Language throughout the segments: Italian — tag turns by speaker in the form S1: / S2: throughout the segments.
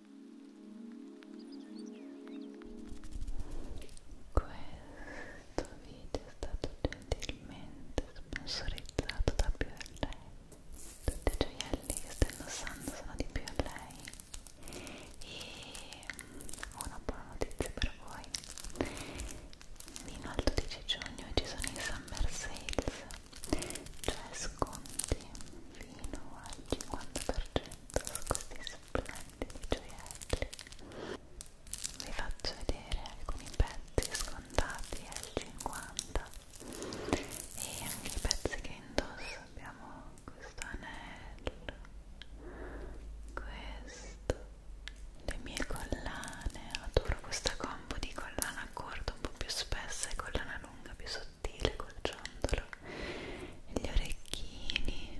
S1: Questo video è stato gentilmente sponsorizzato da più a lei. Tutti i gioielli che sto indossando sono di più a lei. E mm, ho una buona notizia per voi. Fino al 12 giugno ci sono i summer sales, cioè sconti fino al 50% su questi splendidi gioielli. Vi faccio vedere alcuni pezzi scontati al 50 e anche i pezzi che indosso. Abbiamo questo anello, questo, le mie collane. Adoro questa combo di collana corta un po' più spessa e collana lunga più sottile col ciondolo gli orecchini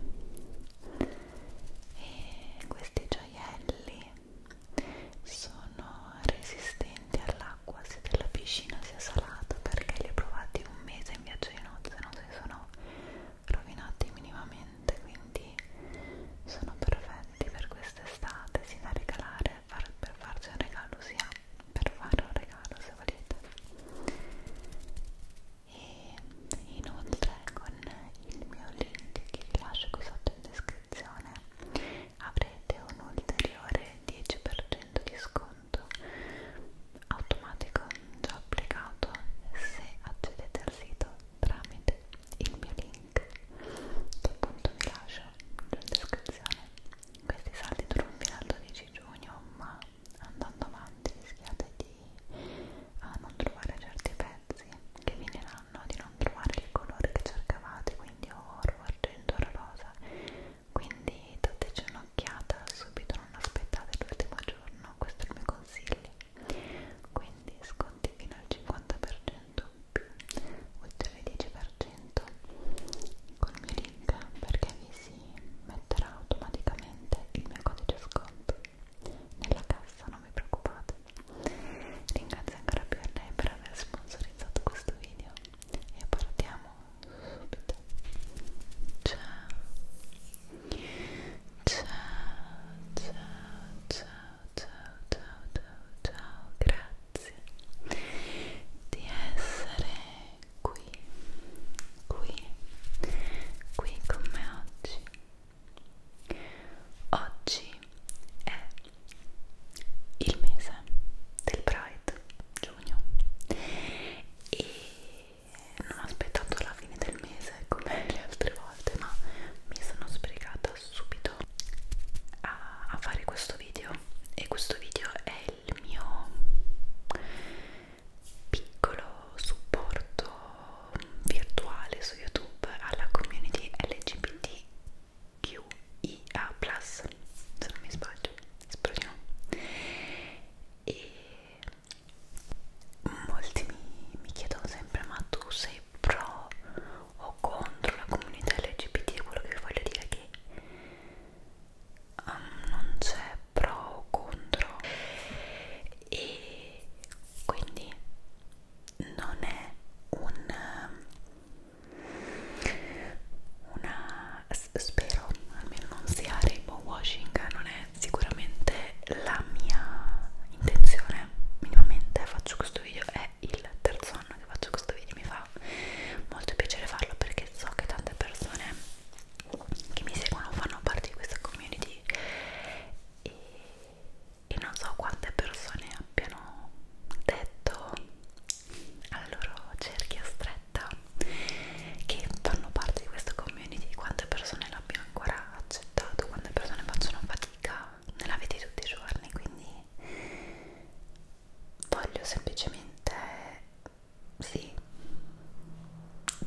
S1: e questi gioielli sono resistenti all'acqua sia della piscina sia salata perché li ho provati un mese in viaggio di nozze non si sono rovinati minimamente quindi sono perfetti per quest'estate sia da regalare far, per farci un regalo sia per fare un regalo se volete e inoltre con il mio link che vi lascio qui sotto in descrizione avrete un ulteriore 10% di sconto automatico già applicato se accedete al sito tramite il mio link che appunto vi lascio in descrizione questi saldi durano fino al 12 giugno ma andando avanti rischiate di a non trovare certi pezzi che vi diranno di non trovare il colore che cercavate quindi oro, argento, oro rosa quindi dateci un'occhiata subito, non aspettate l'ultimo giorno questo è il mio consiglio quindi sconti fino al 50% più oltre il 10% con il mio link perché vi si metterà automaticamente il mio codice sconto nella cassa, non vi preoccupate. Ringrazio ancora più a lei per aver sponsorizzato questo video e partiamo subito. Ciao, ciao, ciao, ciao, ciao, ciao, ciao, ciao. grazie di essere qui, qui, qui con me oggi. Oggi è il mese del Pride, giugno, e non ho aspettato la fine del mese come le altre volte, ma mi sono sbrigata subito a, a fare questo video e questo video è il mio piccolo supporto virtuale su YouTube alla community LGBTQIA+, se non mi sbaglio, spero di no. E molti mi, mi chiedono sempre, ma tu sei pro o contro la comunità LGBT? Quello che vi voglio dire è che um, non c'è pro o contro e quindi non è un una spero almeno non sia rainbow washing non è sicuramente la mia intenzione minimamente faccio questo video è il terzo anno che faccio questo video mi fa molto piacere farlo perché so che tante persone che mi seguono fanno parte di questa community e, e non so quante persone abbiano detto alla loro cerchia stretta che fanno parte di questa community quante persone l'abbiano ancora accettato quante persone facciano fatica nella vita di tutti i giorni quindi voglio semplicemente sì,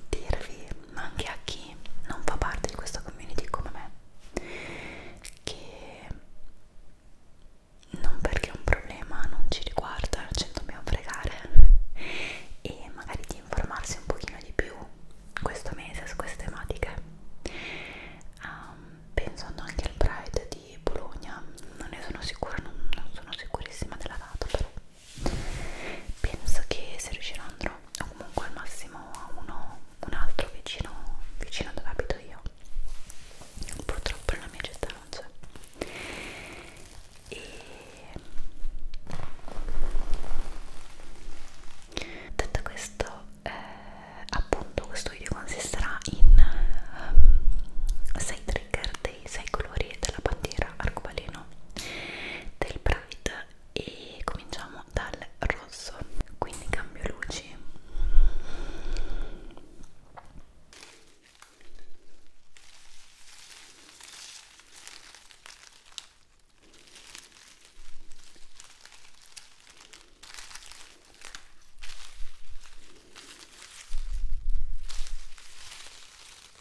S1: dirvi, ma anche a chi non fa parte di questa community come me, che non perché un problema non ci riguarda, ce ne dobbiamo fregare e magari di informarsi un pochino di più questo mese su queste tematiche. Um, ehm, pensando anche al Pride di Bologna, non ne sono sicura, non, non sono sicurissima della data, però penso che se riuscirò andrò o comunque al massimo a uno un altro vicino vicino dove abito io purtroppo nella mia città non c'è e detto questo eh, appunto questo video consisterà in 6 um, ehm, trigger dei 6 colori della bandiera arcobaleno carino del Pride e cominciamo dal rosso quindi cambio luci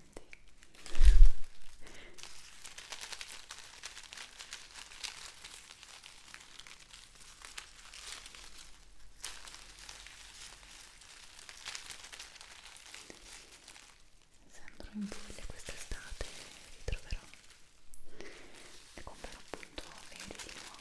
S1: complimenti Sembro in Puglia quest'estate e vi troverò e comprerò appunto veri di nuovo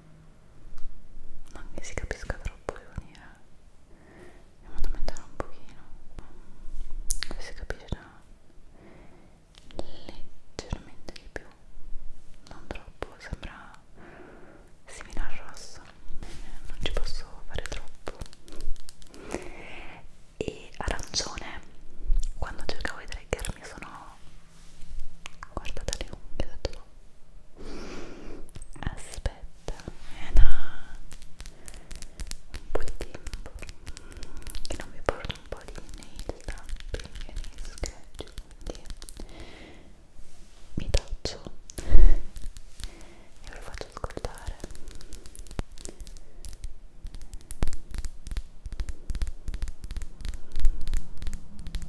S1: non che si capisca troppo devo dire è fondamentale un pochino che si capirà leggermente di più non troppo sembra simile al rosso non ci posso fare troppo e arancione quando cercavo di trigger mi sono guarda dalle unghie, ho detto no aspetta, è da un po' di tempo che non mi porto un po' di nail tapping e nail scratch quindi mi taccio e ve lo faccio ascoltare Ecco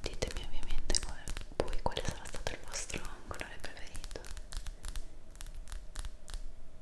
S1: Ditemi ovviamente qual, voi quale sarà stato il vostro colore preferito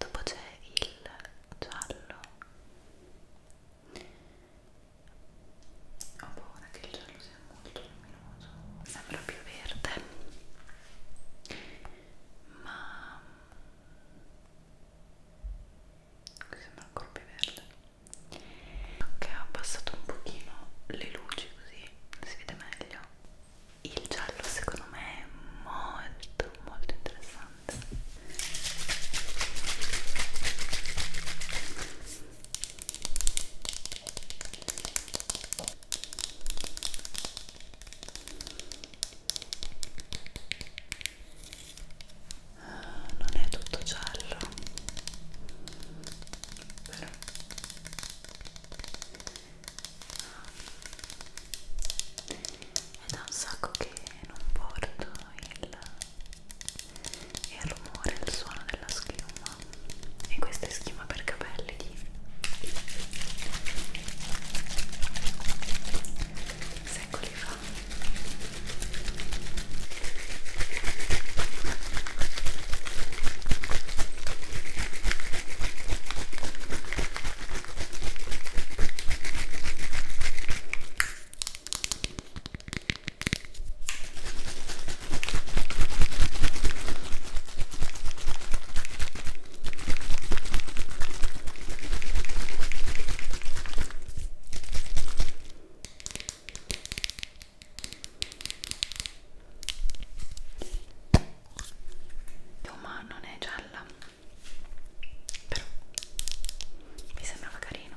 S1: Dopo c'è il giallo ho paura che il giallo sia molto luminoso. Sembra più verde, ma qui sembra ancora più verde. Ok, ho abbassato un pochino le luci così si vede meglio. Il giallo secondo me è molto molto interessante non è tutto giallo però è da un sacco che non porto il e il rumore e il suono della schiuma e questa è schiuma per capelli di secoli fa ma non è gialla però mi sembrava carino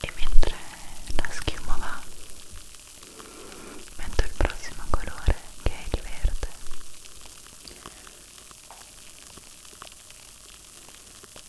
S1: e mentre la schiuma va metto il prossimo colore che è il verde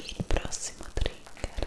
S1: Il prossimo trigger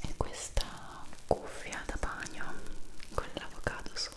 S1: e questa cuffia da bagno con l'avocado sopra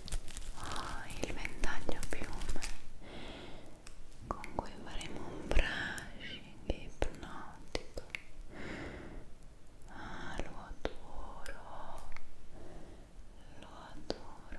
S1: oh, il ventaglio a piume con cui faremo un brushing ipnotico ah lo adoro lo adoro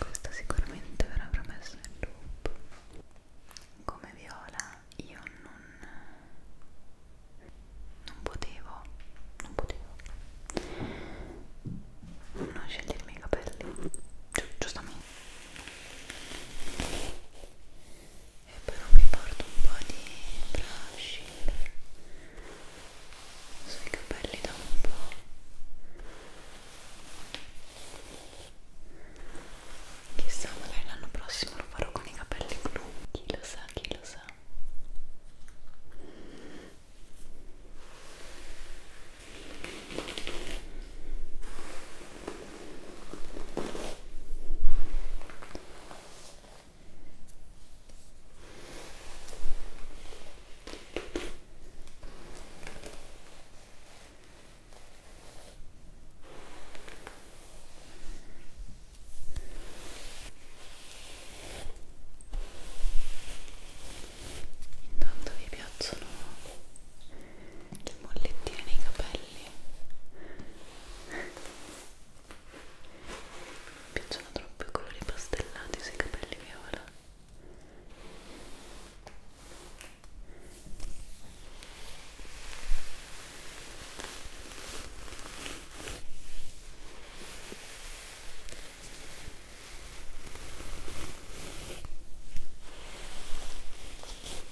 S1: Questa sicuramente verrà promessa nel loop. Come viola io non non potevo, non potevo non scegliermi i capelli, Gi giustamente e però mi porto un po' di brush sui capelli da un po' chissà magari l'anno prossimo lo farò con i capelli blu chi lo sa, chi lo sa ok Intanto vi piacciono le mollettine nei capelli? Mi piacciono troppo i colori pastellati sui capelli viola.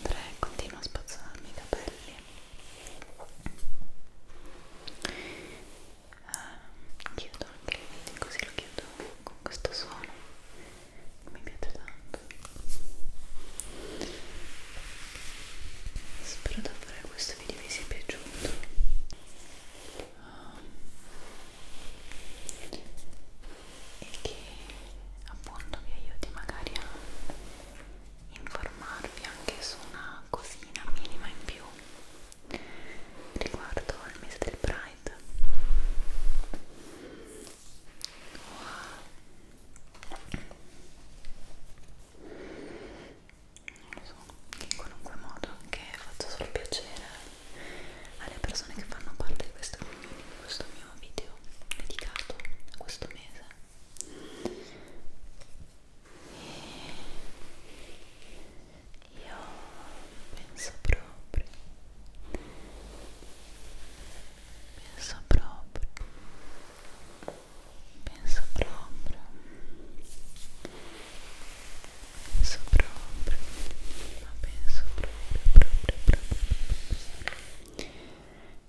S1: Andrei, continuo a spazzarmi i capelli uh, eh, chiudo anche il video così lo chiudo con questo suono mi piace tanto spero davvero che questo video vi sia piaciuto um, e che appunto vi aiuti magari a informarvi anche su una cosina minima in più riguardo al mese del Pride o wow. non so, in qualunque modo che faccio solo piacere alle persone che fanno parte di questo, di questo mio video dedicato a questo mese e io penso proprio penso proprio penso proprio penso proprio ma penso proprio proprio proprio, proprio.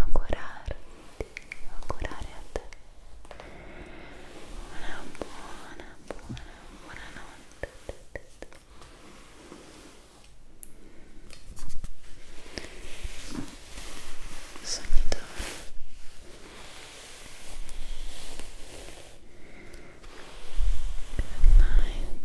S1: augurare augurare a te una buona buona buona notte Sognatore. Good night.